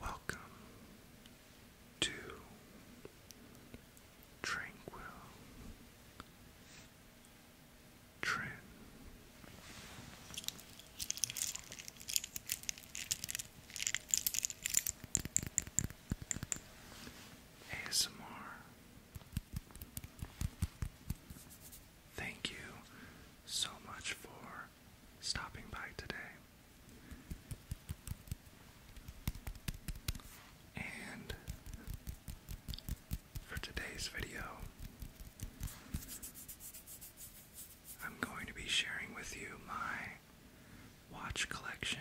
Welcome to Tranquil Trend ASMR. Thank you so much for stopping by today. And for today's video, I'm going to be sharing with you my watch collection.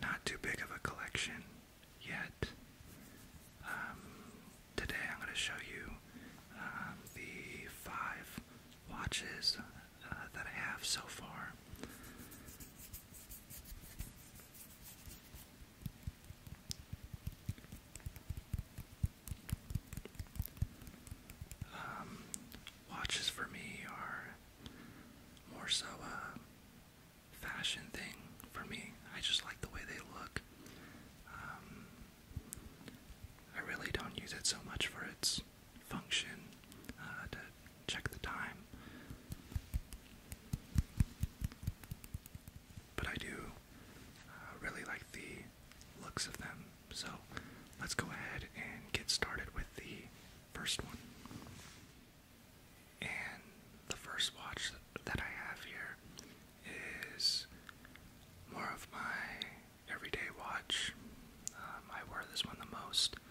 Not too big of a collection yet. Um, today I'm going to show you um, the five watches uh, that I have so far. Um, watches for me are more so a fashion thing for me. I just like the way they look. Um, I really don't use it so much for its function uh, to check the time. But I do uh, really like the looks of them, so let's go ahead and get started with the first one. And the first watch that I have here is more of my everyday watch. Um, I wear this one the most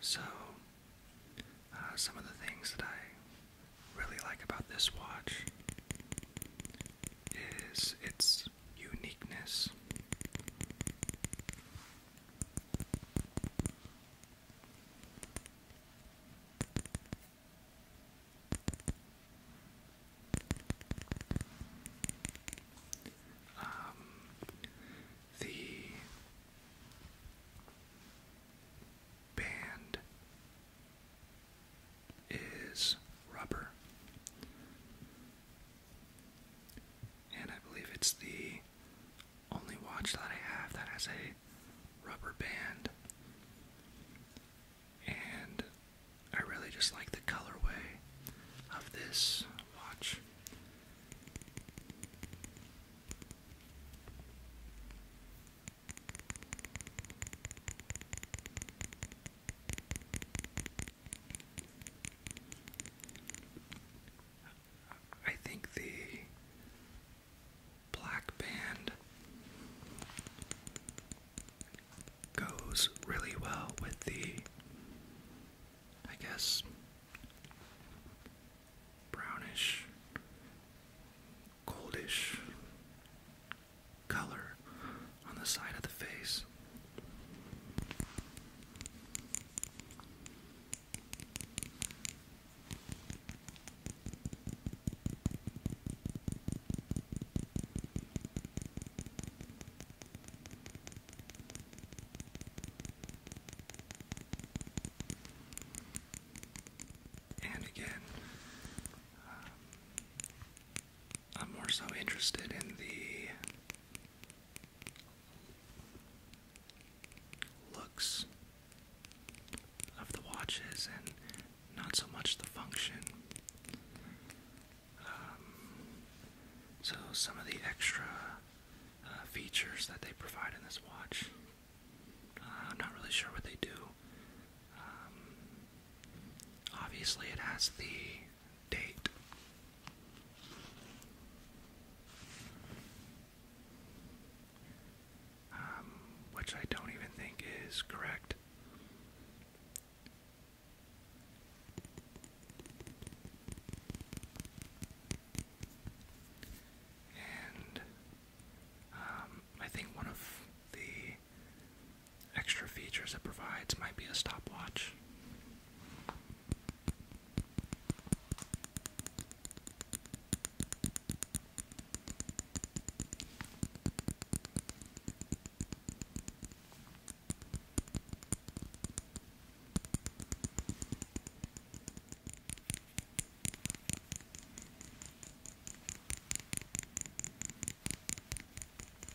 So, uh, some of the things that I really like about this watch is its uniqueness. Um, the band is rubber. And I believe it's the only watch that I have that has a rubber band. And I really just like the colorway of this watch. I think the black band goes really well with the, I guess, brownish, goldish color on the side of the face. And again, um, I'm more so interested in the looks of the watches and not so much the function. Um, so, some of the extra uh, features that they provide in this watch, uh, I'm not really sure what they do. Um, obviously, it has the date. Um, which I don't even think is correct. And um, I think one of the Extra features it provides might be a stopwatch.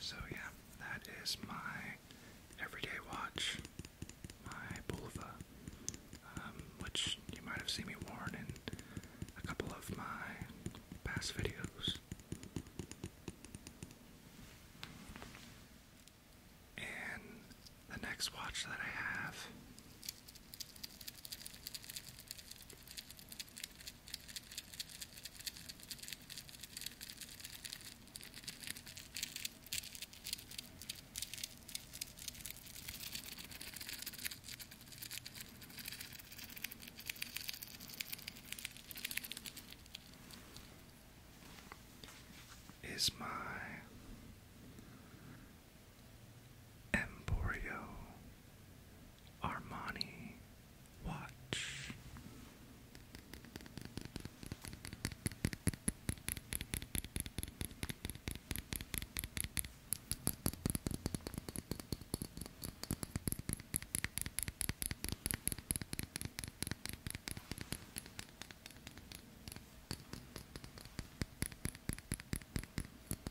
So, yeah, that is my everyday watch, my Bulova, um, which you might have seen me worn in a couple of my past videos. And the next watch that I have is my Emporio Armani watch.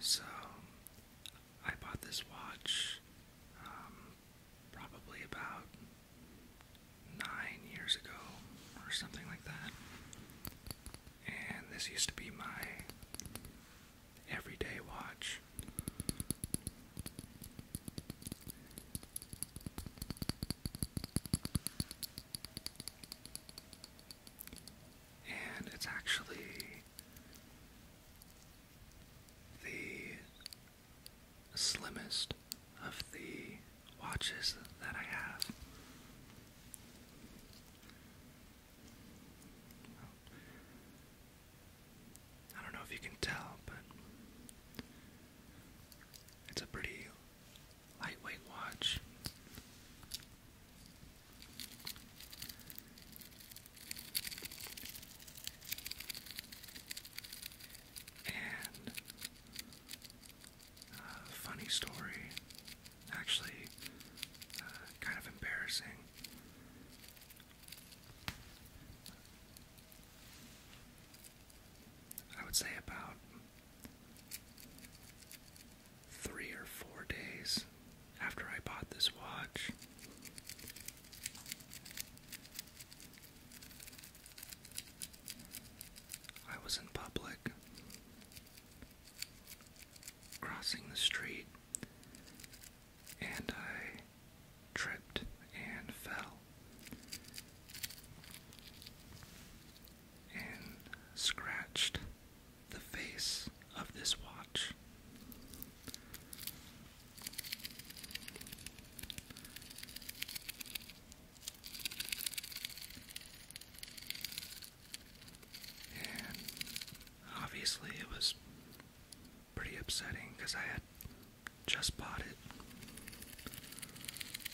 So, I bought this watch um, probably about nine years ago or something like that. And this used to be my everyday watch. And it's actually the slimmest of the watches that I have. I don't know if you can tell, but it's a pretty lightweight watch. And uh, funny story, actually, uh, kind of embarrassing. I would say about three or four days after I bought this watch. I was in public, crossing the street, and I tripped and fell and scratched the face of this watch. And obviously, it was pretty upsetting because I had just bought it.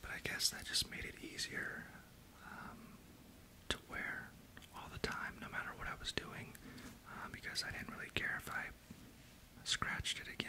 But I guess that just made it easier um, to wear all the time, no matter what I was doing, uh, because I didn't really care if I scratched it again.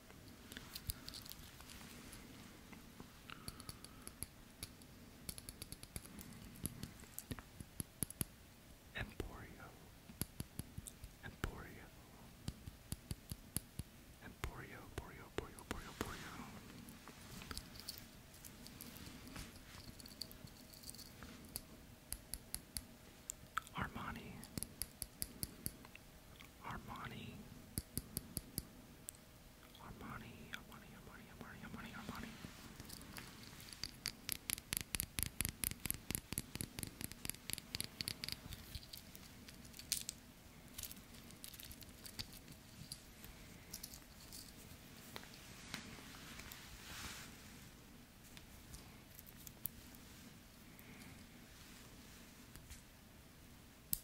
Emporio, Emporio, Emporio, Borio, Borio, Borio, Armani, Armani, Armani, Armani, Armani, Armani, Armani, Armani.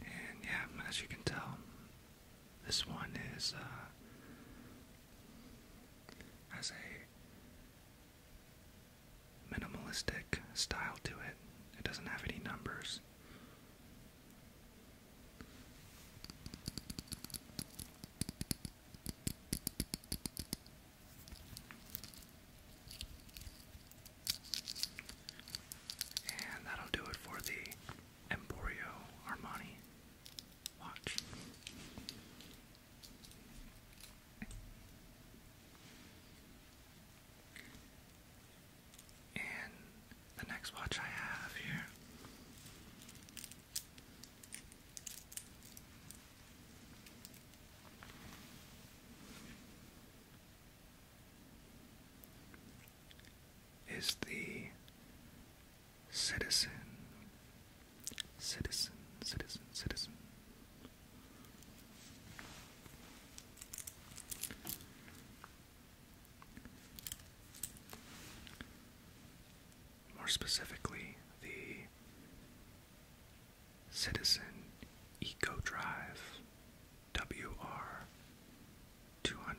And yeah, as you can tell, this one is uh, has a minimalistic style to it. It doesn't have any numbers. And that'll do it for the Emporio Armani watch. And the next watch I have here is the citizen, citizen, citizen, citizen. More specifically, the Citizen Eco Drive WR 200.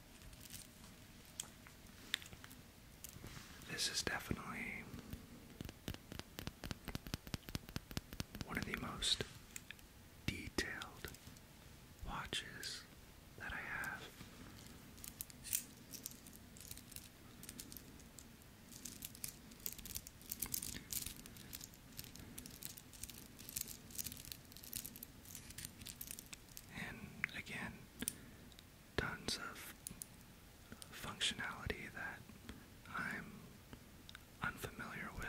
This is definitely one of the most detailed watches that I have and again, tons of functionality that I'm unfamiliar with.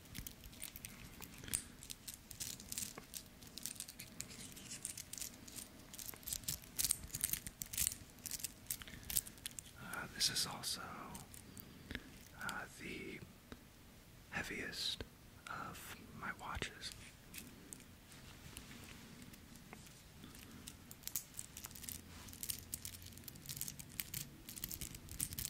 Uh, this is also uh, the heaviest of my watches.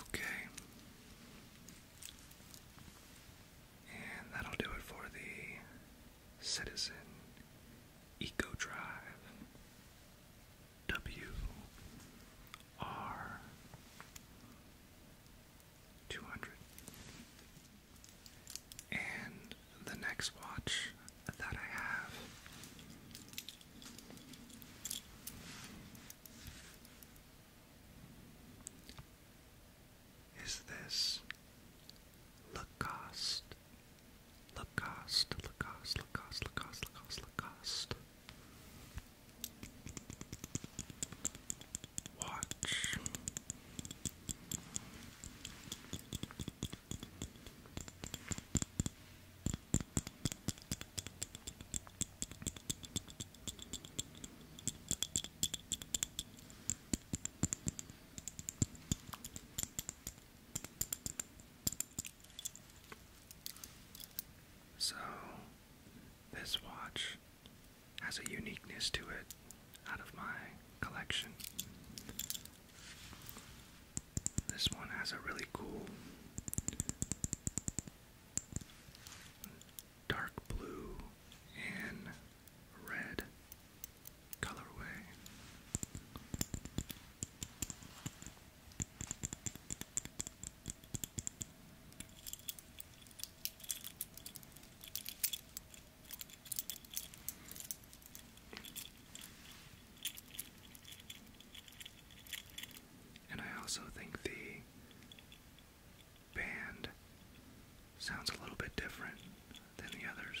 Okay. And that'll do it for the Citizen Eco Drive. W R two hundred. And the next watch that I have is this Lacoste, Lacoste, Lacoste, Lacoste, Lacoste, Lacoste, Watch. So, this watch has a uniqueness to it out of my collection. This one has a really cool dark blue and red colorway. And I also think the band sounds a little bit different than the others.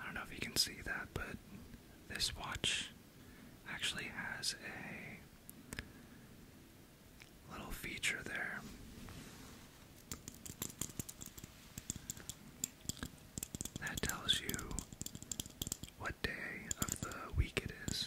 I don't know if you can see that, but this watch actually has a little feature there that tells you what day of the week it is.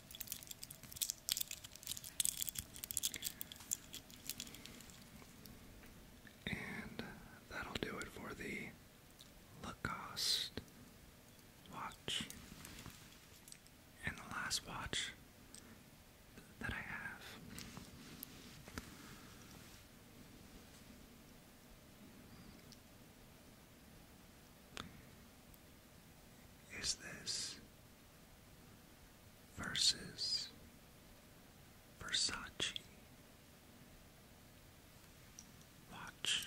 And that'll do it for the Lacoste watch. And the last watch that I have is this versus Versace? Watch.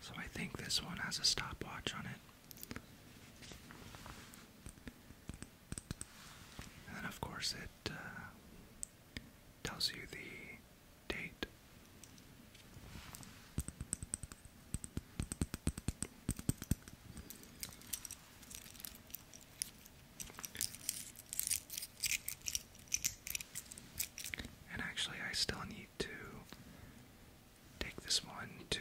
So I think this one has a stopwatch on it. And of course, it uh, tells you the date. And actually, I still need to take this one to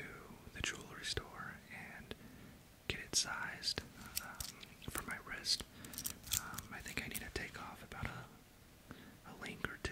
the jewelry store and get it sized um, for my wrist. Um, I think I need to take off about a, a link or two.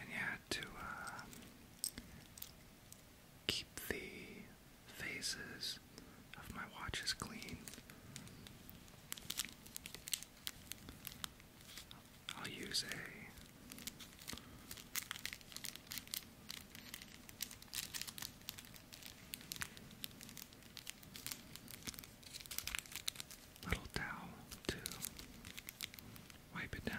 And you had to uh, keep the Faces of my watch is clean. I'll use a little towel to wipe it down.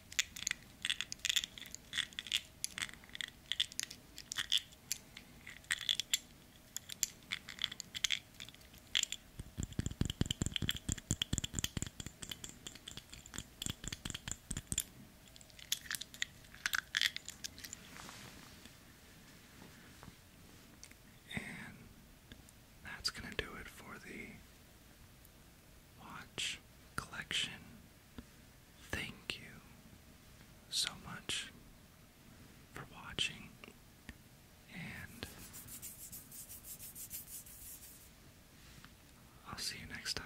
And that's going to do it for the watch collection Thank you so much for watching, and I'll see you next time.